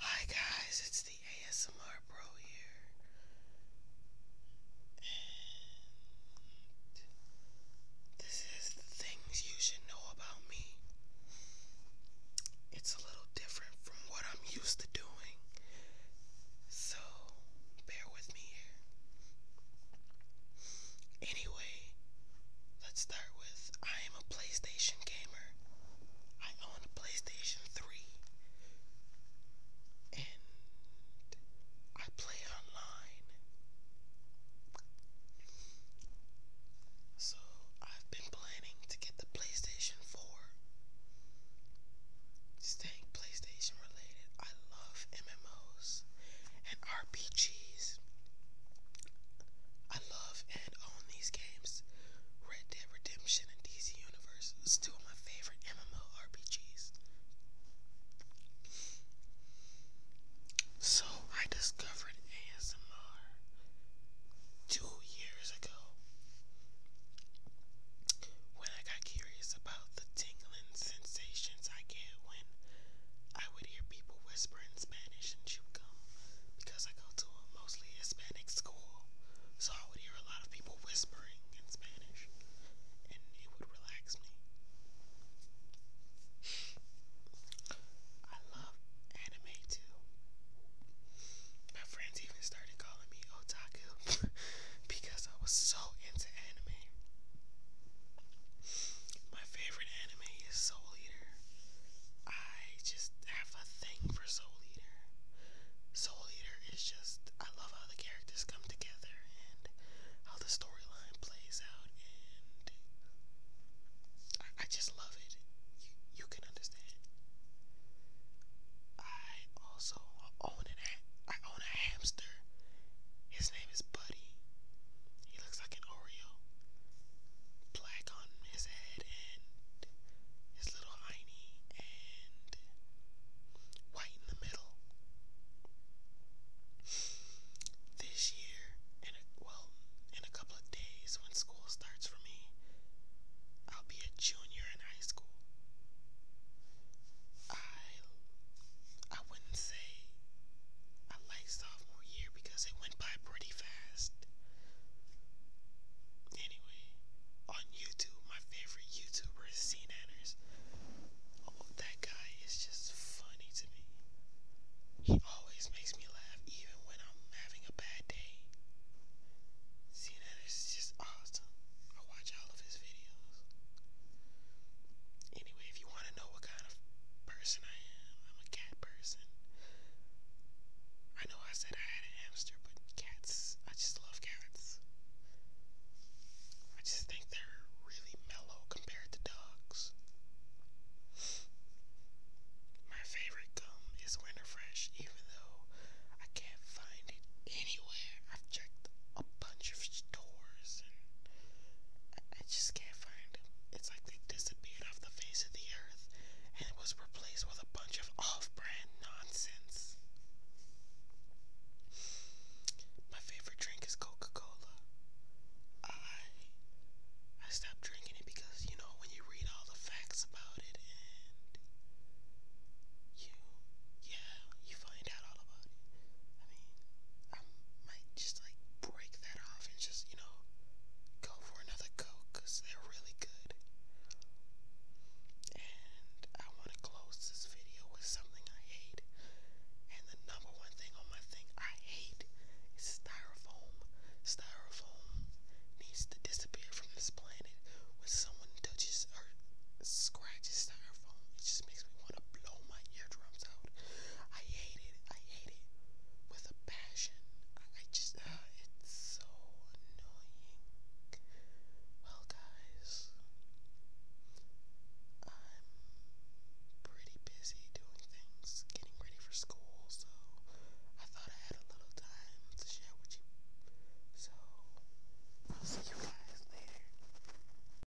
Hi guys, it's the ASMR Pro here. this is the things you should know about me. It's a little different from what I'm used to doing. So, bear with me here. Anyway, Let's start with I am a PlayStation gamer. I own a PlayStation 3. And I play online. So I've been planning to get the PlayStation 4. Staying PlayStation related, I love MMOs and RPGs. I love and own these games. Red Dead Redemption and DC Universe is two of my favorite MMO RPGs. So I discovered ASMR two years ago when I got curious about the tingling sensations I get when I would hear people whisper in Spanish and chew gum because I go to a mostly Hispanic school. So I would hear a lot of people whispering in Spanish and it would relax me. I love anime too. My friends even started calling me otaku because I was so into anime. My favorite anime is Soul Eater. I just have a thing for Soul Eater. Soul Eater is just, I love how the characters come together and how the storyline plays out, and I, just love it. you can understand. I also own an I own a hamster. His name is Buddy. He looks like an Oreo black on his head and his little hiney and white in the middle. This year, and a, well, in a couple of days when school starts for me, I'll be a junior in high school. I I wouldn't say I like sophomore year because it went by pretty fast. Anyway, on YouTube, my favorite YouTuber is C Oh, that guy is just funny to me. He always makes me laugh even when I'm having a bad day. C is just awesome. I watch all of his videos. Anyway, if you want to know what kind of person I am. I'm a cat person. I know I said I had a hamster, but cats, I just love cats. I just think they're really mellow compared to dogs. My favorite gum is Winterfresh, even though I can't find it anywhere. I've checked a bunch of stores and I just can't find them. It's like they disappeared off the face of the earth and it was replaced with a bunch of off brand nonsense. My favorite drink is Coca Cola. I I stopped drinking it because you know when you read all the facts about it and you yeah, you find out all about it. I mean, might just like break that off and just, you know, go for another Coke because they're really good. And I want to close this video with something I hate. And the number one thing on my thing I hate is styrofoam. Styrofoam needs to disappear from this planet when someone touches or scratches styrofoam. It just makes me want to blow my eardrums out. I hate it. I hate it with a passion. I just, uh, it's so annoying. Well, guys, I'm pretty busy doing things, getting ready for school, so I thought I had a little time to share with you. So, I'll see you guys later.